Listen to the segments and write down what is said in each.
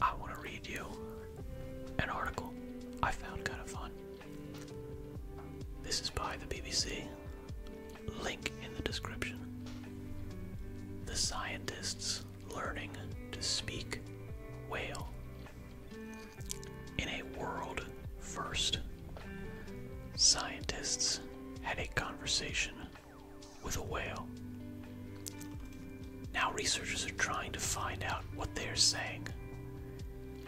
I want to read you an article I found kind of fun. This is by the BBC. Link in the description. The scientists learning to speak whale. In a world first, scientists had a conversation with a whale. Now researchers are trying to find out what they are saying.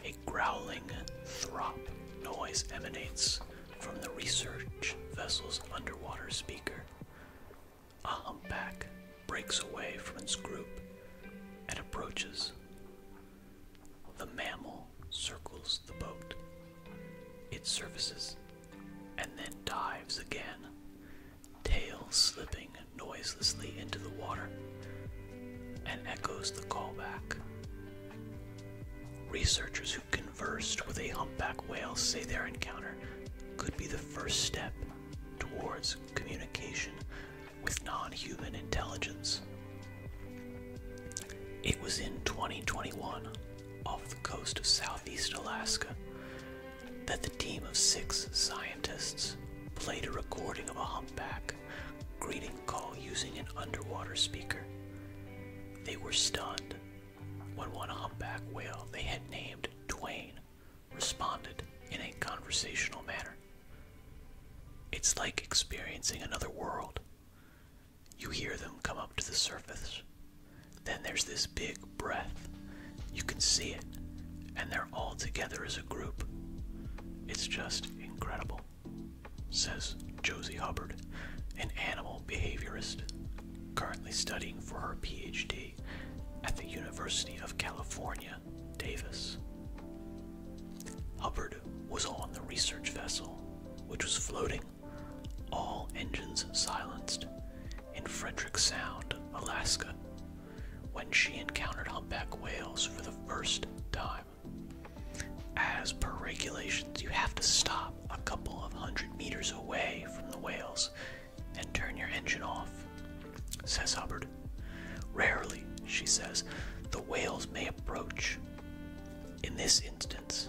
A growling throp noise emanates from the research vessel's underwater speaker. A humpback breaks away from its group and approaches. The mammal circles the boat. It surfaces and then dives again, tail slipping noiselessly into the water, and echoes the call back. Researchers who conversed with a humpback whale say their encounter could be the first step towards communication with non human intelligence. It was in 2021 off the coast of southeast Alaska that the team of six scientists played a recording of a humpback greeting call using an underwater speaker. They were stunned when one humpback whale they had named Duane responded in a conversational manner. It's like experiencing another world. You hear them come up to the surface. Then there's this big breath. You can see it, and they're all together as a group. It's just incredible, says Josie Hubbard, an animal behaviorist currently studying for her PhD at the University of California, Davis. Hubbard was on the research vessel, which was floating, all engines silenced, in Frederick Sound, Alaska, when she encountered humpback whales for the first time. As per regulations, you have to stop a couple of hundred meters away from the whales and turn your engine off, says Hubbard. Rarely, she says, the whales may approach. In this instance,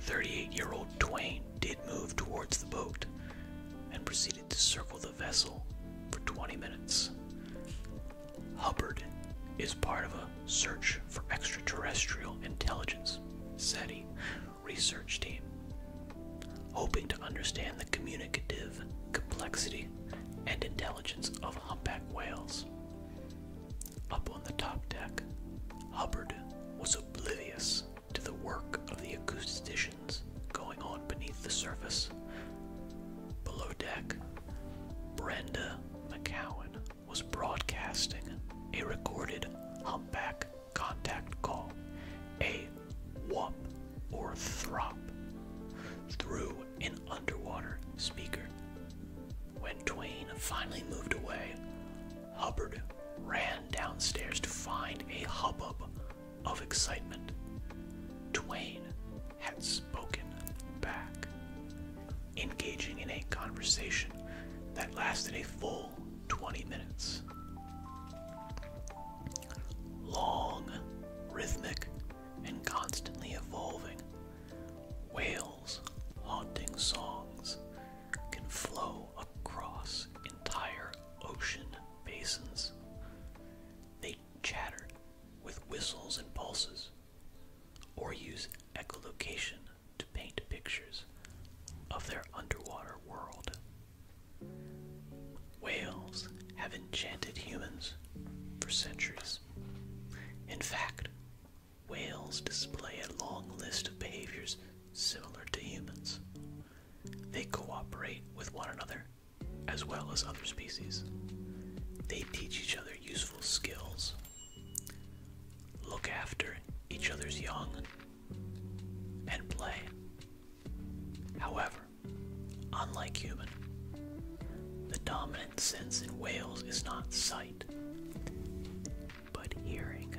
38 year old Twain did move towards the boat and proceeded to circle the the vessel for 20 minutes. Hubbard is part of a search for extraterrestrial intelligence, SETI, research team, hoping to understand the communicative complexity and intelligence of humpback whales. Up on the top deck, Hubbard was oblivious to the work of the acousticians going on beneath the surface. Below deck, Brenda McCowan was broadcasting a recorded humpback contact call, a whop or throp, through an underwater speaker. When Twain finally moved away, Hubbard ran downstairs to find a hubbub of excitement. Duane had spoken back, engaging in a conversation that lasted a full 20 minutes. Long, rhythmic, and constantly evolving, Whale's haunting songs can flow across entire ocean basins. They chatter with whistles and pulses, or use echolocation to paint pictures of their underwater world. Whales have enchanted humans for centuries. In fact, whales display a long list of behaviors similar to humans, they cooperate with one another, as well as other species. They teach each other useful skills, look after each other's young, and play. However, unlike human, the dominant sense in whales is not sight, but hearing.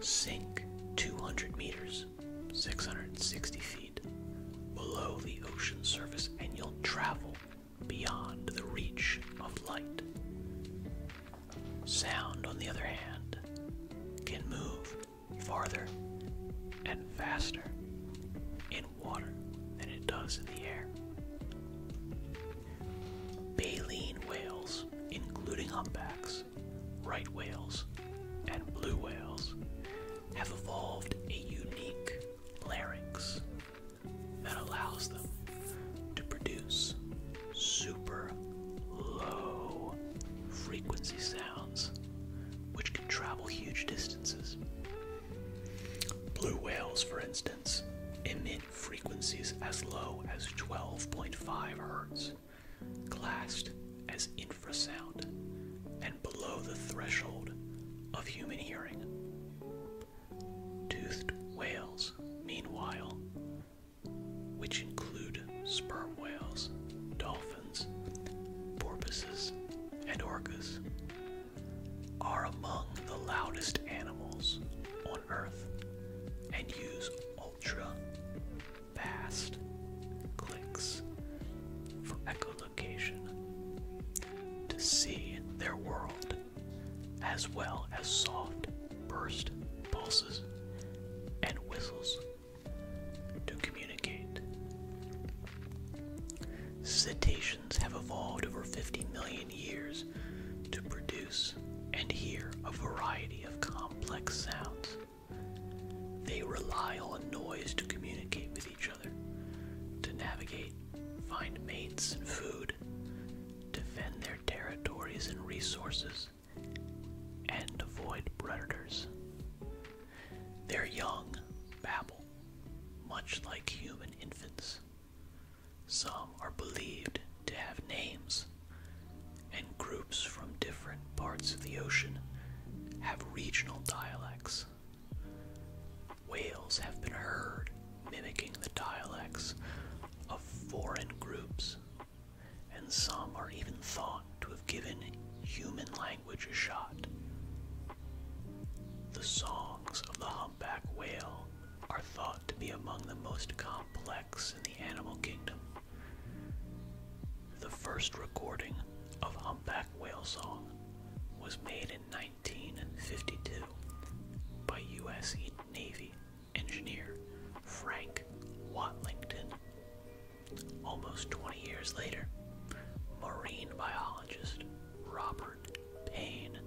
Sink 200 meters, 660 feet below the ocean surface, and you'll travel beyond the reach of light. Sound, on the other hand, can move farther and faster in water than it does in the air. Baleen whales, including humpbacks, right whales, and blue whales have evolved a unique larynx that allows them to produce super low frequency sounds which can travel huge distances. Blue whales, for instance, emit frequencies as low as 12.5 hertz, classed as infrasound and below the threshold of human hearing. Toothed whales, meanwhile, which include sperm whales, dolphins, porpoises, and orcas, are among the loudest animals on Earth and use ultra fast clicks for echolocation to see their world, as well as soft burst pulses and whistles to communicate. Cetaceans have evolved over 50 million years to produce and hear a variety of complex sounds they rely on noise to communicate with each other, to navigate, find mates and food, defend their territories and resources, and avoid predators. Their young babble, much like human infants. Some are believed to have names and groups from different parts of the ocean have regional dialects. Whales have been heard mimicking the dialects of foreign groups, and some are even thought to have given human language a shot. The songs of the humpback whale are thought to be among the most complex in the animal kingdom. The first recording of humpback whale song was made in 1952 by U.S. Navy engineer Frank Watlington. Almost 20 years later, marine biologist Robert Payne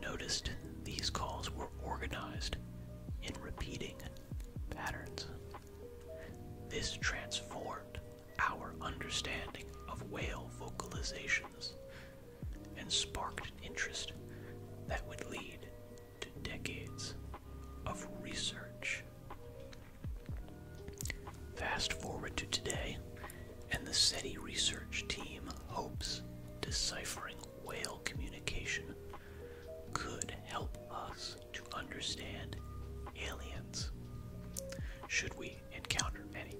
noticed these calls were organized in repeating patterns. This transformed our understanding of whale vocalizations and sparked an interest that would lead to decades of research. Fast forward to today, and the SETI research team hopes deciphering whale communication could help us to understand aliens, should we encounter any.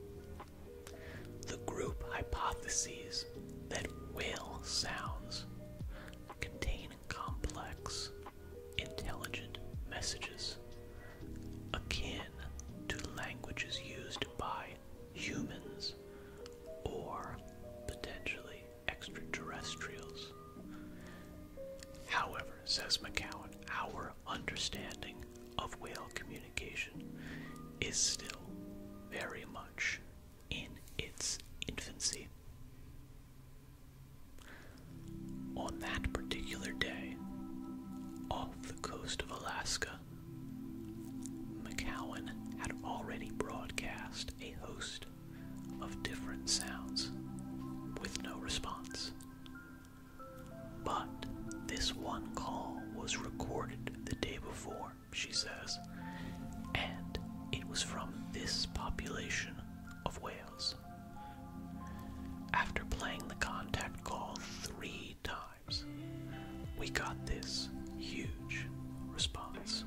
The group hypotheses that whale sounds contain complex, intelligent messages akin to languages used by humans or potentially extraterrestrials. However, says McCowan, our understanding of whale communication is still very much in its infancy. On that particular day, off the coast of Alaska, McCowan had already broadcast a host of different sounds with no response. But this one call was recorded the day before, she says, and it was from this population of whales. After playing the contact call three times, we got this huge response.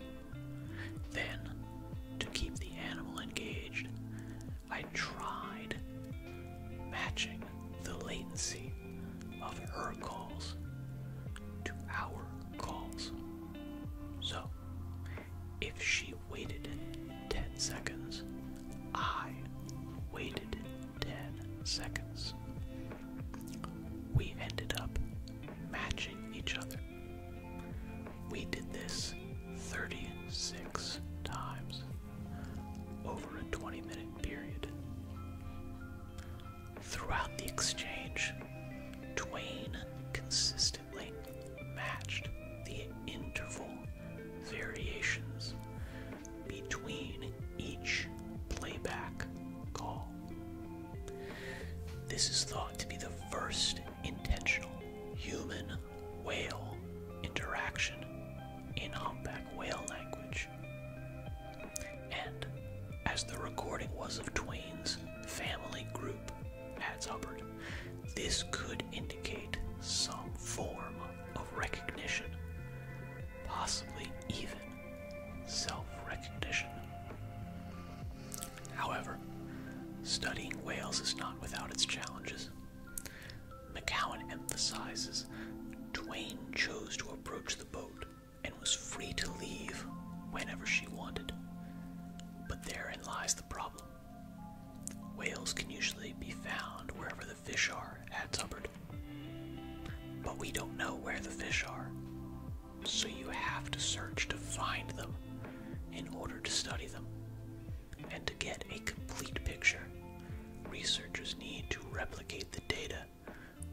Then, to keep the animal engaged, I tried matching the latency of her calls to our calls. So, if she waited 10 seconds, I waited 10 seconds. We ended up matching each other we did this 36 times over a 20 minute period. Throughout the exchange, Twain consistently matched the interval variations between each playback call. This is thought to be the first intentional human whale interaction in humpback whale language. And as the recording was of Twain's family group, adds Hubbard, this could indicate some form of recognition, possibly even self recognition. However, studying whales is not without its challenges. McCowan emphasizes Duane chose to approach the boat and was free to leave whenever she wanted. But therein lies the problem. Whales can usually be found wherever the fish are, adds Hubbard. But we don't know where the fish are, so you have to search to find them in order to study them. And to get a complete picture, researchers need to replicate the data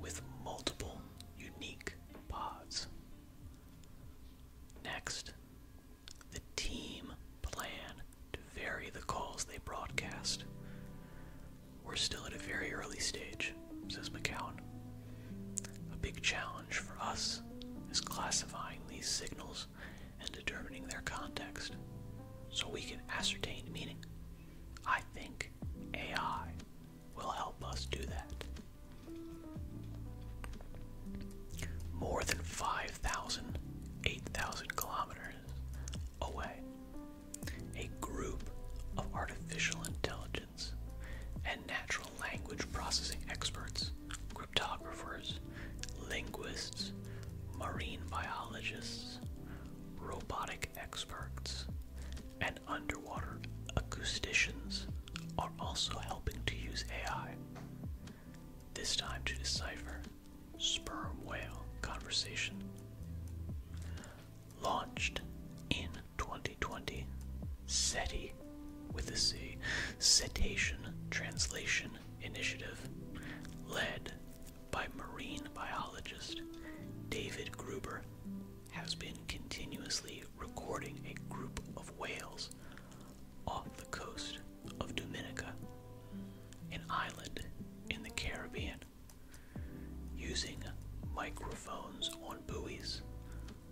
with multiple unique pods. Next, the team plan to vary the calls they broadcast. We're still at a very early stage, says McCowan. A big challenge for us is classifying these signals symbols and determining their context so we can ascertain meaning. I think AI will help us do that. More than 5,000, 8,000 kilometers away, a group of artificial intelligence and natural language processing experts cryptographers, linguists, marine biologists, robotic experts, and underwater acousticians are also helping to use AI, this time to decipher sperm whale conversation. Launched in 2020, SETI with a C, Cetacean Translation Initiative, led by marine biologist David Gruber, has been continuously recording a group of whales off the coast of Dominica, an island in the Caribbean. Using microphones on buoys,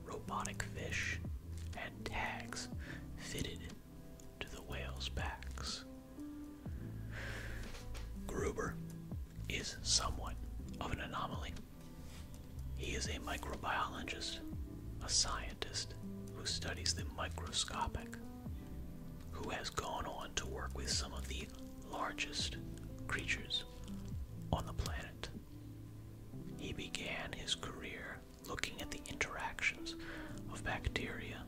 robotic fish, and tags fitted to the whales' backs. Gruber is somewhat of an anomaly. He is a microbiologist, a scientist who studies the microscopic, who has gone on to work with some of the largest creatures on the planet. He began his career looking at the interactions of bacteria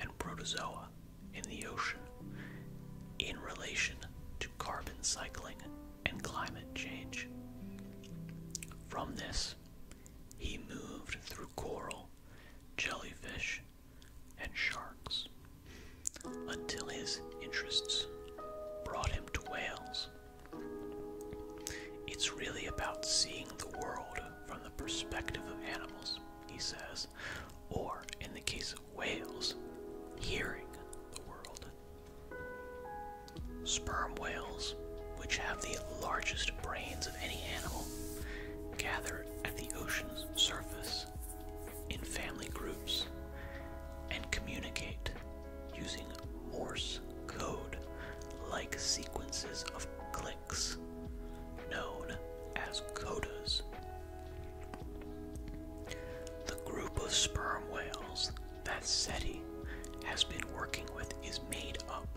and protozoa in the ocean in relation to carbon cycling and climate change. From this, he moved through coral, jellyfish, and sharks until his interests brought him to whales it's really about seeing the world from the perspective of animals, he says, or in the case of whales, hearing the world. Sperm whales, which have the largest brains of any animal, gather at the ocean's surface in family groups and communicate using Morse code like sequences of clicks, known as codas. The group of sperm whales that SETI has been working with is made up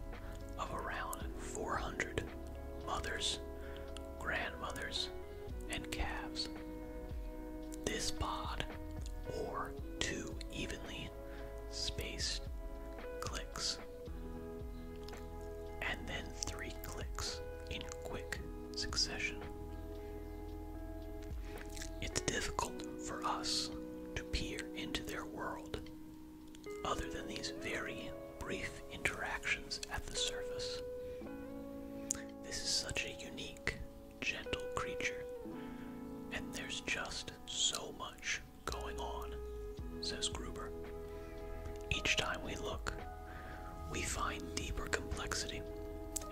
of around 400 mothers, grandmothers, and calves. This pod, or two evenly spaced clicks and then three clicks in quick succession. It's difficult for us to peer into their world other than these very brief interactions at the surface. This is such a unique, gentle creature, and there's just so much going on, says Gruber. Each time we look, we find deeper complexity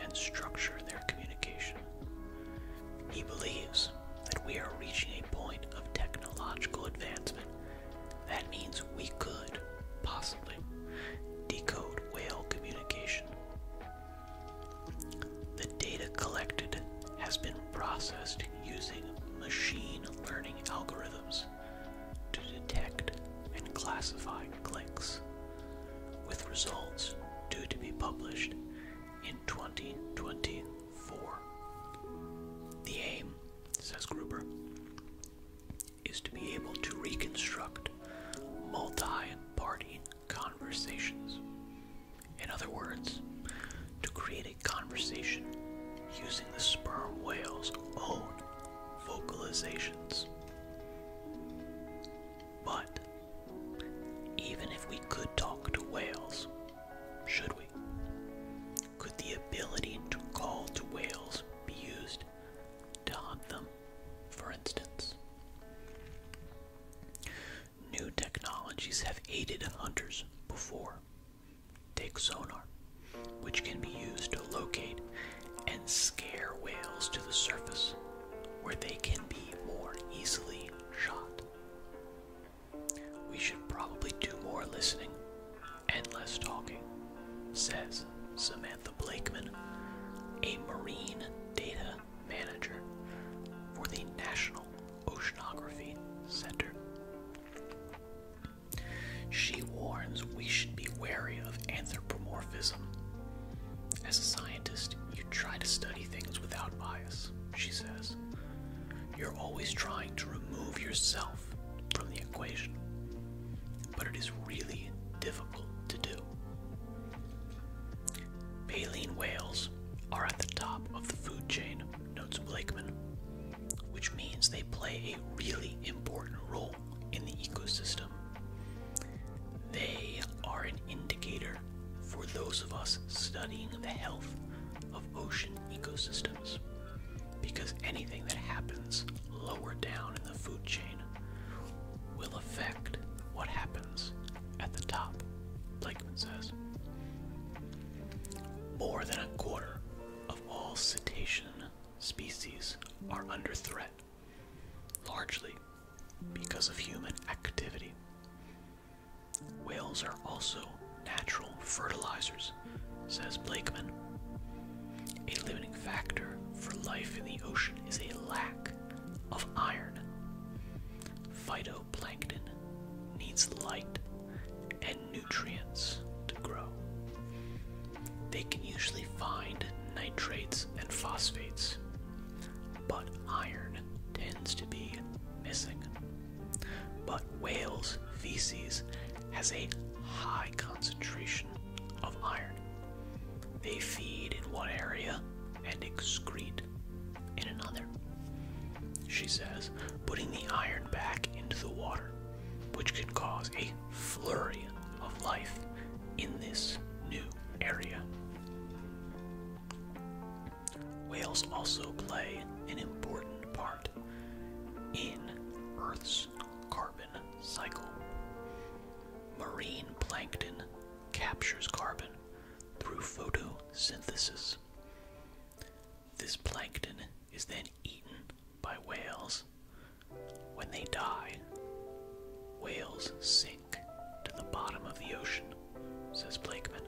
and structure in their communication. He believes that we are reaching a point of technological advancement that means we could, possibly, decode whale communication the data collected has been processed using machine learning algorithms to detect and classify clicks, with results due to be published in 2024. The aim, says Gruber, is to be able to reconstruct multi party conversations in other words, to create a conversation using the sperm whale's own vocalizations. But even if we could talk to whales, should we? Could the ability to call to whales be used to hunt them, for instance? New technologies have aided hunters before. Take sonar, which can be used to locate and scare whales to the surface where they can be more easily shot. We should probably do more listening and less talking, says Samantha Blakeman, a marine data manager for the National Oceanography Center. She warns we should be wary of anthropomorphism. As a scientist, you try to study things without bias, she says. You're always trying to remove yourself from the equation, but it is really difficult to do. Baleen whales are at the top of the food chain notes Blakeman, which means they play a really important role in the ecosystem. They are an indicator for those of us studying the health of ocean ecosystems because anything that happens lower down in the food chain will affect what happens at the top, Blakeman says. More than a quarter of all cetacean species are under threat, largely because of human activity. Whales are also natural fertilizers, says Blakeman. A limiting factor for life in the ocean is a lack of iron. Phyto Plankton needs light and nutrients to grow. They can usually find nitrates and phosphates, but iron tends to be missing. But whales' feces has a high concentration of iron. They feed in one area and excrete in another she says, putting the iron back into the water, which could cause a flurry of life in this new area. Whales also play an important part in Earth's carbon cycle. Marine plankton captures carbon through photosynthesis. This plankton is then eaten by whales. When they die, whales sink to the bottom of the ocean, says Blakeman,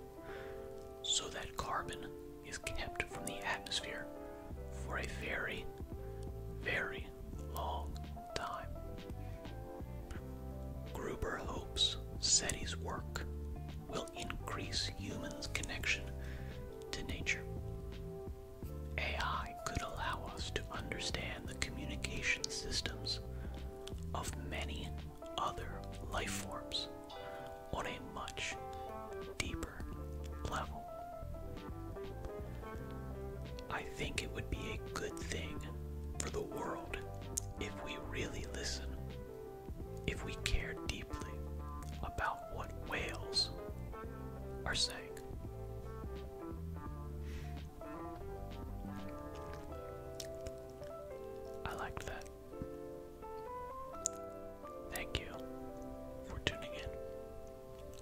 so that carbon is kept from the atmosphere for a very, very long time. Gruber hopes SETI's work will increase humans' connection to nature. AI could allow us to understand the communication systems of many other life forms on a much deeper level. I think it would be a good thing for the world if we really listen if we care deeply about what whales are saying. I liked that. Thank you for tuning in.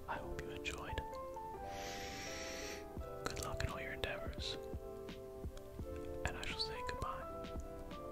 I hope you enjoyed. Good luck in all your endeavors. And I shall say goodbye.